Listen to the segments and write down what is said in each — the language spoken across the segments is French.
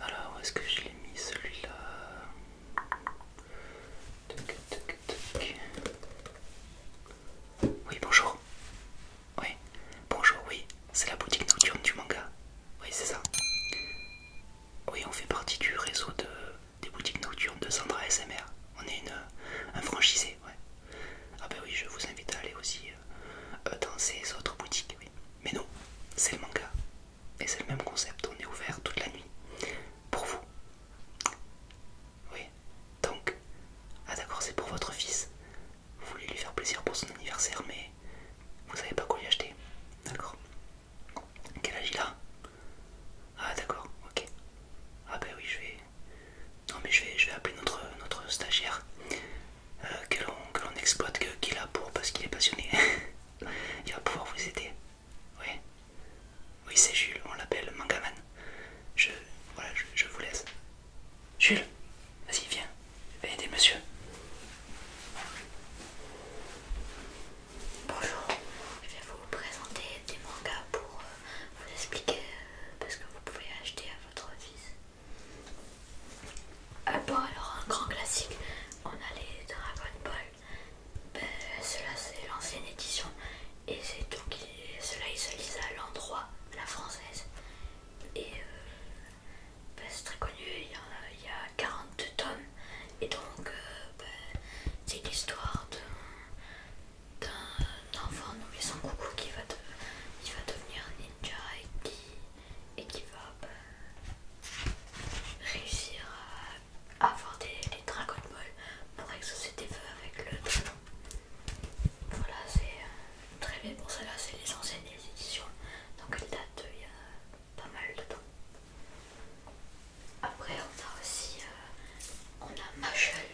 Alors, où est-ce que je l'ai mis celui-là Oui, bonjour. Oui, bonjour, oui. C'est la boutique nocturne du manga. Oui, c'est ça. Oui, on fait partie du réseau de, des boutiques nocturnes de Sandra SMR. On est une, un franchisé, ouais. Ah bah ben oui, je vous invite à aller aussi euh, dans ces autres boutiques, oui. Mais non, c'est le manga. Et c'est le même concept, on est ouvert toute la nuit. Pour vous. Oui. Donc. Ah d'accord, c'est pour votre fils. Vous voulez lui faire plaisir pour son anniversaire, mais vous savez pas quoi lui acheter. D'accord. Quel âge il a Ah d'accord, ok. Ah ben oui, je vais... Non mais je vais, je vais appeler notre stagiaire. Euh, que l'on exploite, qu'il a pour parce qu'il est passionné. Il va pouvoir vous aider. Oui, oui c'est Jules, on l'appelle Mangaman. Je, voilà, je, vous laisse. Jules, vas-y, viens, Aidez aider monsieur. Bonjour, je vais vous présenter des mangas pour euh, vous expliquer ce euh, parce que vous pouvez acheter à votre fils. Ah bon alors un grand classique, on a les Dragon Ball. Ben, cela c'est l'ancienne édition et c'est donc cela il se à l'endroit, la française. Et euh, ben, c'est très connu, il y, a, 42 tomes et donc euh, ben, c'est l'histoire d'un enfant nommé Son qui va, qui va devenir ninja et qui et qui va bah, réussir à avoir des, dragons de Ball pour exaucer des feux avec le dragon. Voilà, c'est euh, très bien pour ça là c'est les anciennes éditions, donc elle date il y a pas mal de temps. Après on a aussi, euh, on a Machel,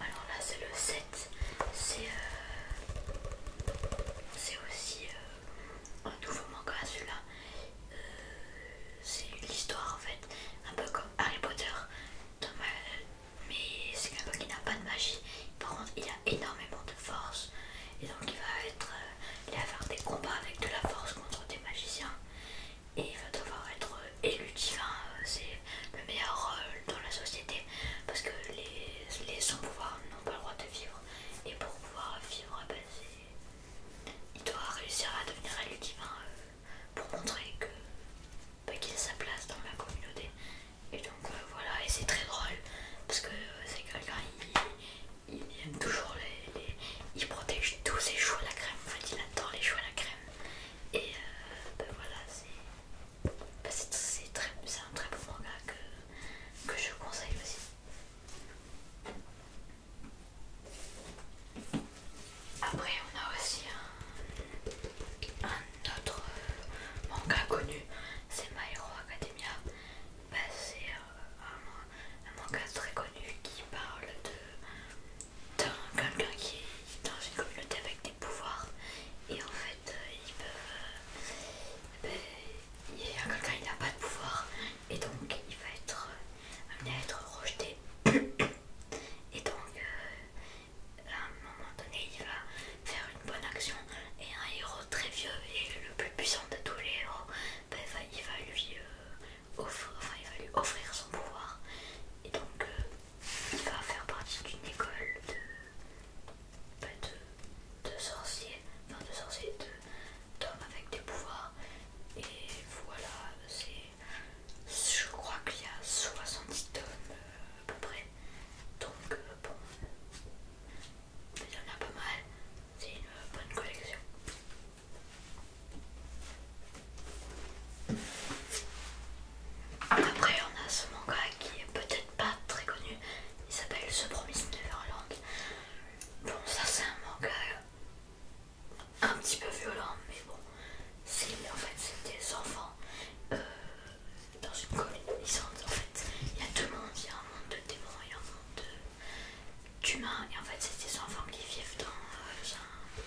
alors là c'est le 7 euh, c'est aussi euh, un nouveau manga celui-là. Euh, c'est l'histoire en fait, un peu comme Harry Potter, mais c'est quelqu'un qui n'a pas de magie. Par contre, il a énormément de force et donc il va être, il faire des combats avec de la force contre des magiciens et il va devoir être élu divin. c'est le meilleur rôle dans la société parce que les, sans pouvoir n'ont pas le droit de vivre et pour pouvoir vivre bah, il doit réussir à devenir élu divin euh, pour montrer que bah, qu'il a sa place dans la communauté et donc euh, voilà et c'est très drôle parce que euh, c'est quelqu'un il, aime toujours les, il protège tous ses joues à la crème en fait il adore les joues à la crème et bah, voilà c'est c'est un très beau manga que, je conseille aussi. Après on a aussi un, autre manga connu, c'est My Hero Academia. Bah, c'est euh, un, manga très connu qui parle de, de quelqu'un qui est dans une communauté avec des pouvoirs et en fait ils il y a quelqu'un qui n'a pas de pouvoir et donc il va être euh, amené à être rejeté. Et donc, euh, à un moment donné, il va faire une bonne action et un héros très vieux et le plus puissant de tous les héros, ben, il, va, lui, euh, va offrir son pouvoir. Et donc, il va faire partie d'une école de, sorciers, bah, de, de sorciers, de sorciers, d'hommes avec des pouvoirs. Et voilà, c'est, je crois qu'il y a 70 tomes euh, à peu près. Donc euh, bon, il y en a pas mal. C'est une bonne collection. Après, on a ce manga qui est peut-être pas très connu, il s'appelle The Promise Neverland. Bon, ça c'est un manga un petit peu violent, mais bon, c'est en fait c'est des enfants euh, dans une colline Ils en fait, il y a deux mondes, il y a un monde de démons a un monde d'humains, et en fait c'est des enfants qui vivent dans euh, un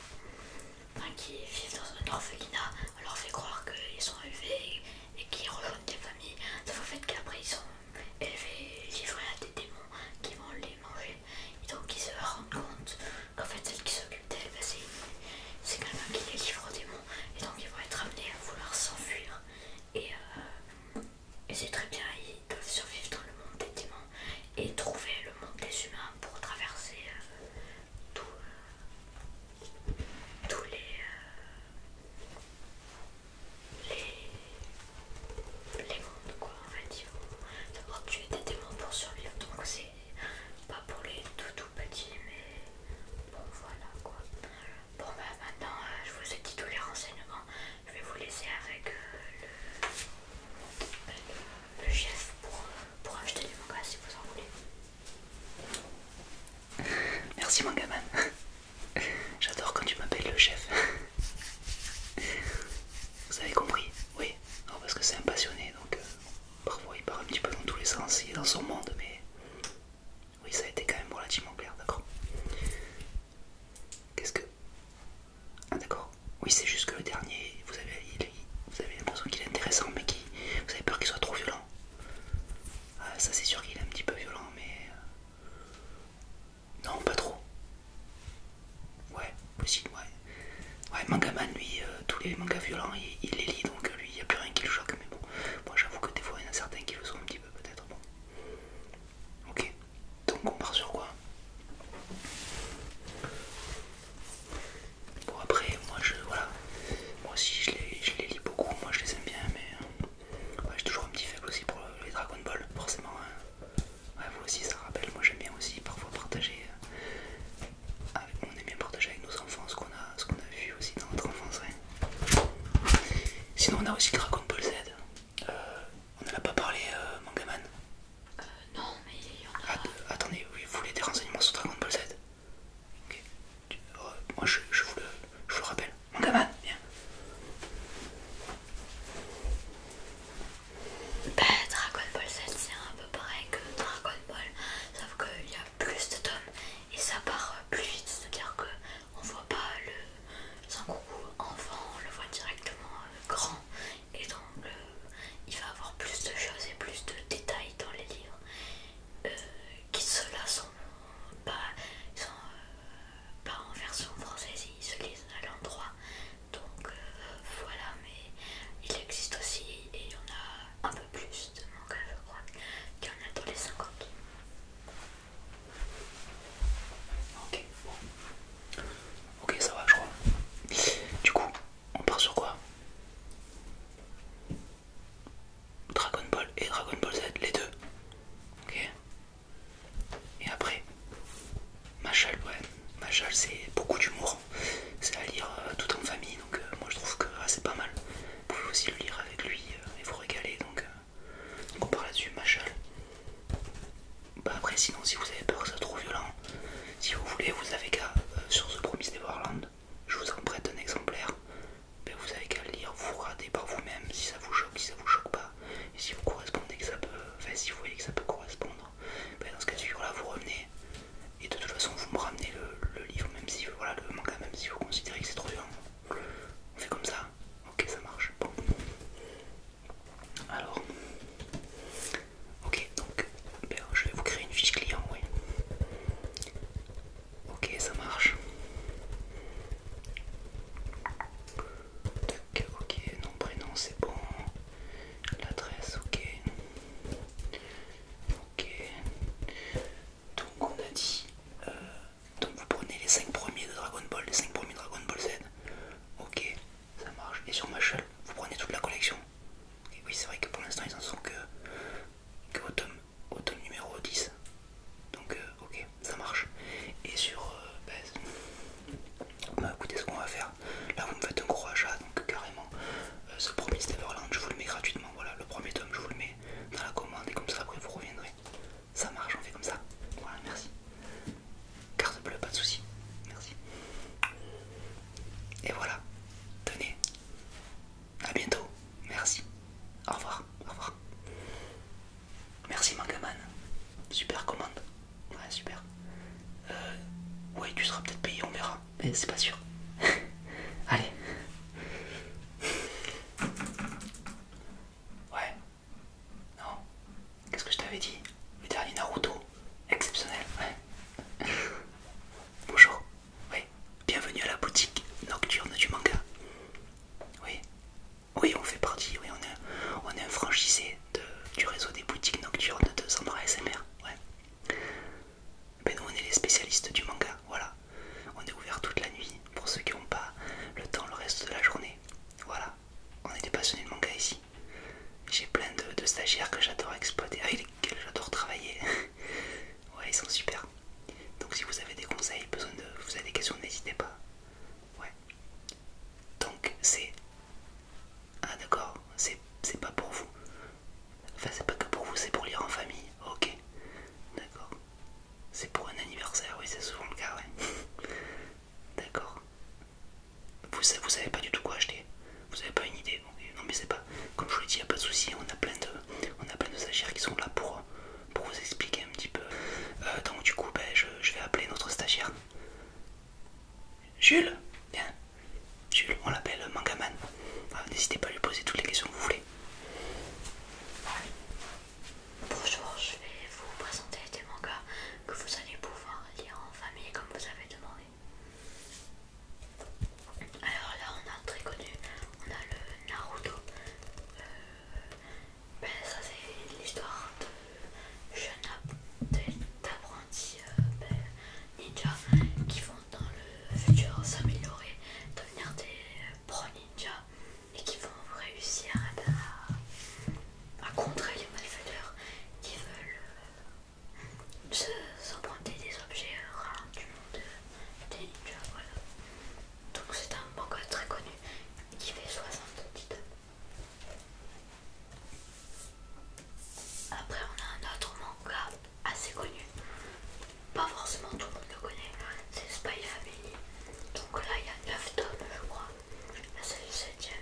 qui vivent dans un orphelinat, on leur fait croire qu'ils sont élevés et, qu'ils rejoignent des familles, sauf au fait qu'après ils sont élevés, livrés à des démons qui vont les manger. Et donc ils se rendent compte qu'en fait celle qui s'occupe d'elle, bah, quand c'est quelqu'un qui les livre aux démons. Et donc ils vont être amenés à vouloir s'enfuir. Et, euh, c'est très bien, ils doivent survivre dans le monde des démons et trouver le monde des humains pour traverser euh, tout, tous les, euh, les, les mondes, quoi, en fait ils vont tuer des démons pour survivre, donc c'est pas pour les tout tout petits, mais bon, voilà quoi. Bon, bah maintenant, euh, je vous ai dit tous les renseignements, je vais vous laisser avec euh, le le chef pour, acheter des manga si vous en voulez. Merci mon gamin. J'adore quand tu m'appelles le chef. Vous avez compris Oui. parce que c'est un passionné, donc euh, parfois il part un petit peu dans tous les sens, il est dans son monde, mais oui, ça a été quand même relativement clair, d'accord Qu'est-ce que... Ah d'accord, oui, c'est juste que le dernier, vous avez, vous avez l'impression qu'il est intéressant, hein, mais qui, vous avez peur qu'il soit trop violent. Ah, ça, c'est sûr qu'il est un petit peu violent, mais euh, non, pas trop. Ouais, possible, ouais. Ouais, Mangaman, lui, euh, tous les mangas violents, il, les lit, donc lui, il n'y a plus rien qui le choque, mais bon, moi j'avoue que des fois, il y en a certains qui le sont un petit peu, peut-être, bon. Ok, donc on part sur quoi Bon après moi je voilà moi aussi je les, lis beaucoup moi je les aime bien mais euh, j'ai toujours un petit faible aussi pour euh, les Dragon Ball forcément hein. vous aussi ça rappelle moi j'aime bien aussi parfois partager euh, avec, on aime bien partager avec nos enfants ce qu'on a ce qu'on a vu aussi dans notre enfance hein. sinon on a aussi Dragon Ball Z on n'en a pas parlé Mangaman euh, non, mais il y en a. attendez, oui, vous voulez des renseignements sur Dragon Ball Z Ok. Euh, moi, je, vous le, je vous rappelle. Mangaman, viens. Bah, Dragon Ball Z, c'est un peu pareil que Dragon Ball, sauf qu'il y a plus de tomes et ça part euh, plus vite, c'est-à-dire que on voit pas le coucou enfant, on le voit directement grand et donc euh, il va avoir plus de choses et plus de détails dans les livres euh, qui ceux-là sont euh, pas en version française ils se lisent à l'endroit donc voilà mais il existe aussi et il y en a un peu plus de mangas je crois qu'il y en a dans les 50 ok Ok, ça va, je crois. Du coup, on part sur quoi Dragon Ball et Dragon Ball Z, les deux. Ok. Et après, Machal, ouais. Machal, c'est beaucoup d'humour. C'est à lire euh, tout en famille, donc euh, moi je trouve que ah, c'est pas mal. Vous pouvez aussi le lire avec lui euh, et vous régaler, donc, on part là-dessus. Machal. Bah après sinon si vous avez peur que ça soit trop violent, si vous voulez vous avez qu'à euh, sur ce Promise Warland, je vous en prête un exemplaire, mais vous avez qu'à le lire, vous ratez par vous-même si ça vous choque, si ça vous choque pas, et si vous correspondez que ça peut. Enfin si vous voyez que ça peut correspondre, ben, dans ce cas de là vous revenez et de toute façon vous me ramenez le, livre même si voilà le manga même si vous considérez que c'est trop violent. On fait comme ça, ok ça marche, bon. Alors, ok, donc je vais vous créer une fiche client, oui. Ok, ça marche. ok, nom, prénom, c'est bon. L'adresse, ok. Ok. Donc on a dit... Euh, donc vous prenez les 5 premiers de Dragon Ball, les 5 premiers Dragon Ball Z. Ok ça marche. Et sur chaîne vous prenez toute la collection. Et oui, c'est vrai que pour l'instant, ils en sont que, que au, tome, numéro 10. Donc, euh, ok, ça marche. Et sur. Euh, ben, bah, écoutez, ce qu'on va faire. Là, vous me faites un gros achat, donc carrément. Euh, ce premier Steverland, je vous le mets gratuitement. Voilà, le premier tome, je vous le mets dans la commande. Et comme ça, après, vous reviendrez. Ça marche, on fait comme ça. Voilà, merci. Carte bleue, pas de souci. Merci. Et voilà. Tenez. À bientôt. Merci. Au revoir. Au revoir. Merci Mangaman. Super commande. Ouais, super. Euh, ouais, tu seras peut-être payé, on verra. Mais c'est pas sûr. Allez. Ouais, non Qu'est-ce que je t'avais dit Le dernier Naruto Exceptionnel, ouais. Bonjour, oui. Bienvenue à la boutique nocturne du manga. Oui. Oui, on fait partie, oui, on est, on un franchisé du réseau des boutiques nocturnes de Sandra SMR. Ouais. Ben nous, on est les spécialistes du manga, voilà. On est ouvert toute la nuit pour ceux qui n'ont pas le temps le reste de la journée. Voilà on est des passionnés de manga ici. J'ai plein de, stagiaires que j'adore exploiter, avec ah, lesquels j'adore travailler. ouais, ils sont super. Donc si vous avez des conseils, besoin de, vous avez des questions, n'hésitez pas. Ouais. Donc c'est... Ah d'accord, c'est pas pour vous. Enfin c'est pas que pour vous, c'est pour lire en famille. Ok. D'accord. C'est pour un anniversaire, oui c'est souvent le cas, ouais. D'accord. Vous, vous savez pas du tout quoi acheter. Vous avez pas une idée. Non mais c'est pas. Comme je vous l'ai dit, il n'y a pas de souci. On a plein de, on a plein de stagiaires qui sont là pour, pour vous expliquer un petit peu. Euh, donc du coup, ben, je, vais appeler notre stagiaire. Jules, viens. Jules, on l'appelle Mangaman. Ah, n'hésitez pas à lui poser toutes les questions que vous voulez. Bonjour, je vais vous présenter des mangas que vous allez pouvoir lire en famille comme vous avez demandé. Alors là on a très connu, on a le Naruto. Euh, ben ça c'est l'histoire de jeunes apprentis euh, ninjas ben, ninja qui vont dans le futur s'améliorer, devenir des euh, pro ninja et qui vont réussir à, contrer les malfaiteurs qui veulent euh, se s'emprunter des objets rares du monde Donc c'est un manga très connu qui fait 60 titres. Après on a un autre manga assez connu, pas forcément tout le monde le connaît, c'est Spy Family. Donc là, il y a 9 tomes, je crois. Là, c'est le 7 e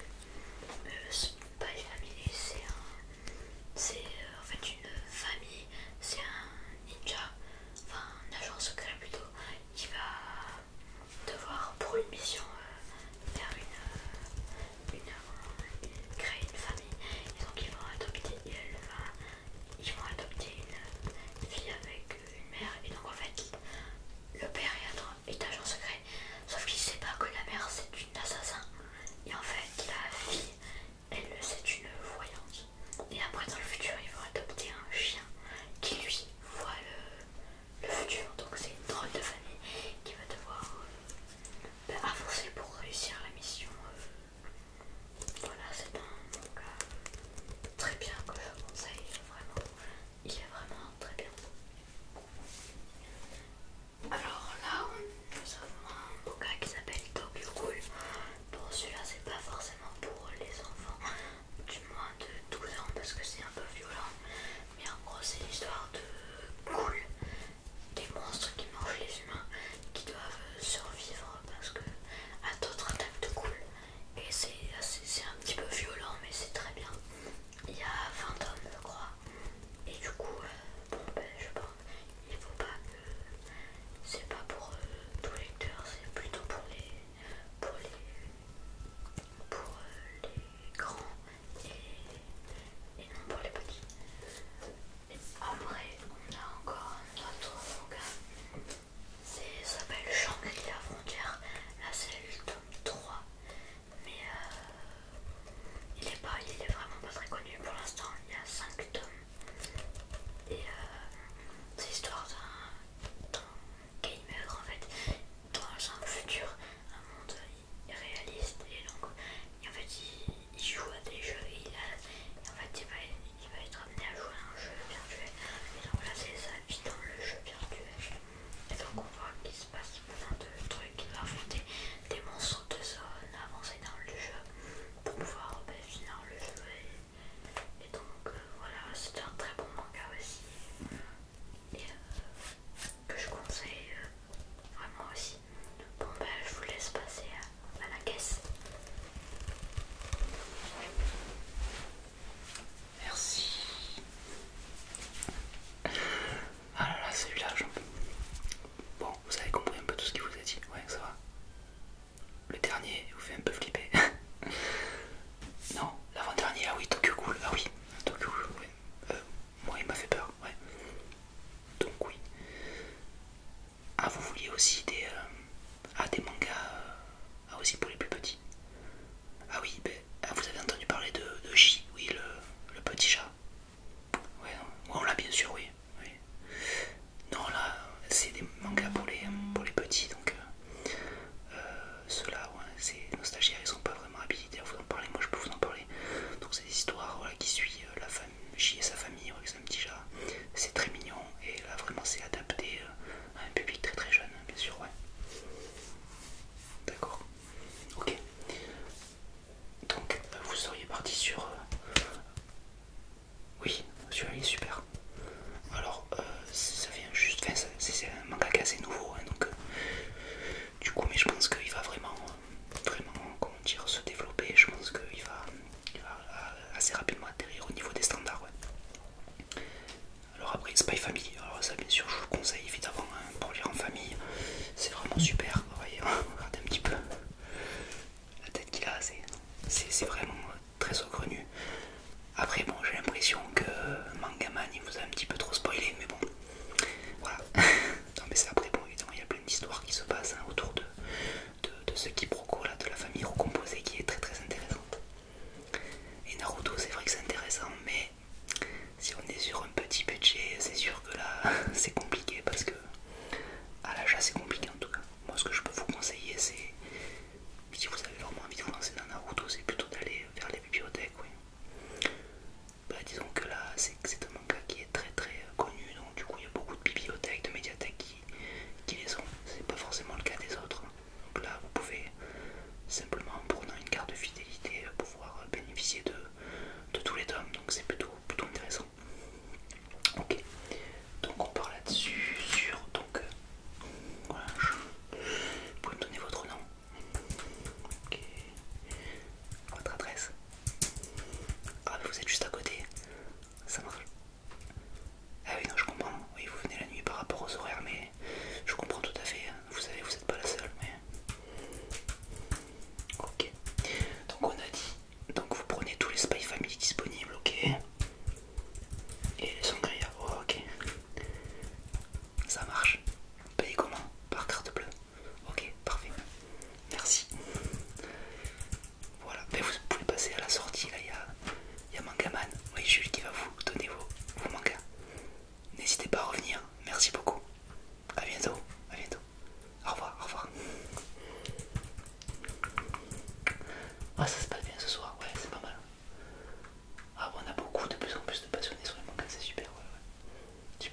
euh, Spy Family, c'est C'est euh, en fait une famille, c'est un ninja, enfin un agence secret plutôt, qui va devoir pour une mission euh, faire une, créer une famille. Et donc ils vont adopter, et elle va ils vont adopter une fille avec une mère et donc en fait le père est, agent secret sauf qu'il sait pas que la mère c'est une assassin et en fait la fille elle c'est une voyante et après dans le futur ils vont adopter un chien qui lui voit le, futur donc c'est une drôle de famille qui va devoir euh, bah, avancer pour réussir la mission euh, voilà, c'est un manga très bien que je conseille, vraiment. Il est vraiment très bien. Alors là, nous avons un manga qui s'appelle Tokyo Ghoul. Bon, celui-là, c'est pas forcément pour les enfants, du moins de 12 ans, parce que c'est un peu violent. Mais en gros, c'est l'histoire de cool, des monstres qui mangent les humains qui doivent euh, survivre parce que à d'autres attaques de cool et c'est un petit peu violent mais c'est très bien il y a 20 hommes je crois et du coup euh, bon ben je pense il faut pas que c'est pas pour euh, tous les lecteurs c'est plutôt pour les pour les pour les grands et, non pour les petits et après on a encore un autre manga ça s'appelle Shangri la frontière. Là c'est le tome 3. Mais euh, il, est pas, il est vraiment pas très connu pour l'instant. Il y a 5 tomes. Et euh, c'est l'histoire d'un gamer en fait. Dans un futur, un monde réaliste. Et donc, y en fait, il joue à des jeux, et en fait il va, il va être amené à jouer à un jeu virtuel et donc là c'est sa vie dans le jeu virtuel et donc on voit qu'il se passe plein de trucs, il va affronter des monstres de zone, avancer dans le jeu pour pouvoir ben, finir le jeu et, donc euh, voilà c'est un très bon manga aussi et euh, que je conseille euh, vraiment aussi. Bon ben je vous laisse passer à la caisse. Merci. Ah là là, celui-là, Bon, vous avez compris un peu tout ce qu'il vous a dit, ouais, ça va. Le dernier vous fait un peu flipper. non, l'avant-dernier, ah oui, Tokyo Cool, ah oui, Tokyo Cool, euh, moi il m'a fait peur, ouais. Donc oui. Ah, vous vouliez aussi des, euh, ah, des mangas euh, ah, aussi pour les plus petits Ah oui, ben, ah, vous avez entendu parler de, de oui, le, petit chat Ouais, on l'a bien sûr, oui. Non, là, c'est des mangas pour les, pour les petits, donc euh, ceux-là, ouais, c'est nostalgiques, ils sont pas vraiment habilités à vous en parler, moi je peux vous en parler. Donc c'est des histoires qui suivent la famille et sa famille, c'est un petit chat. C'est très mignon et là vraiment c'est adapté euh, à un public très très jeune, hein, bien sûr, ouais. D'accord. Ok. Donc euh, vous seriez parti sur... Euh, oui, sur là super. Alors ça vient juste... Enfin, c'est un manga assez nouveau, hein, donc... Du coup, mais je pense qu'il va vraiment vraiment comment dire, se développer. Je pense qu'il va, euh, assez rapidement atterrir au niveau des standards. Ouais. Alors après, Spy Family, alors ça bien sûr je vous le conseille évidemment hein, pour lire en famille. C'est vraiment super, vous voyez, regardez un petit peu la tête qu'il a, c'est vraiment euh, très nu. Après bon, j'ai l'impression que Mangaman il vous a un petit peu trop spoilé, mais bon, voilà. non mais c'est après, bon évidemment il y a plein d'histoires qui se passent hein, autour de, de, ce quiproquo là, de la famille recomposée qui est très très intéressante. Et Naruto, c'est vrai que c'est intéressant, mais si on est sur un petit budget, c'est sûr que là c'est compliqué parce que à l'achat c'est compliqué en tout cas. Moi, ce que je peux vous conseiller, c'est si vous avez vraiment envie de vous lancer dans Naruto, c'est plutôt d'aller vers les bibliothèques. Bah, disons que là c'est un qui est très très euh, connu, donc du coup il y a beaucoup de bibliothèques, de médiathèques qui, les ont. C'est pas forcément le cas des autres. Hein. Donc là vous pouvez simplement en prenant une carte de fidélité euh, pouvoir euh, bénéficier de, tous les tomes, donc c'est plutôt, plutôt intéressant. Ok, donc on part là-dessus sur donc voilà, vous pouvez me donner votre nom. Ok, votre adresse. Ah mais vous êtes juste à côté, ça marche. Ah oui non je comprends, oui vous venez la nuit par rapport aux horaires mais je comprends tout à fait, vous savez vous n'êtes pas la seule mais... Ok, donc on a dit, donc vous prenez tous les Spy Family disponibles, ok Et les sangria, oh, ok. Ça marche. Payez comment Par carte bleue Ok, parfait. Merci. Voilà, vous pouvez passer à la sortie, là, il y a, Mangaman. Oui, Jules qui va vous donner vos, mangas. N'hésitez pas à revenir. Merci beaucoup. A bientôt. À bientôt. Au revoir, au revoir. Ah, ça se passe bien ce soir. Ouais, c'est pas mal. Ah, on a beaucoup de plus en plus de passionnés sur les mangas. C'est super, ouais,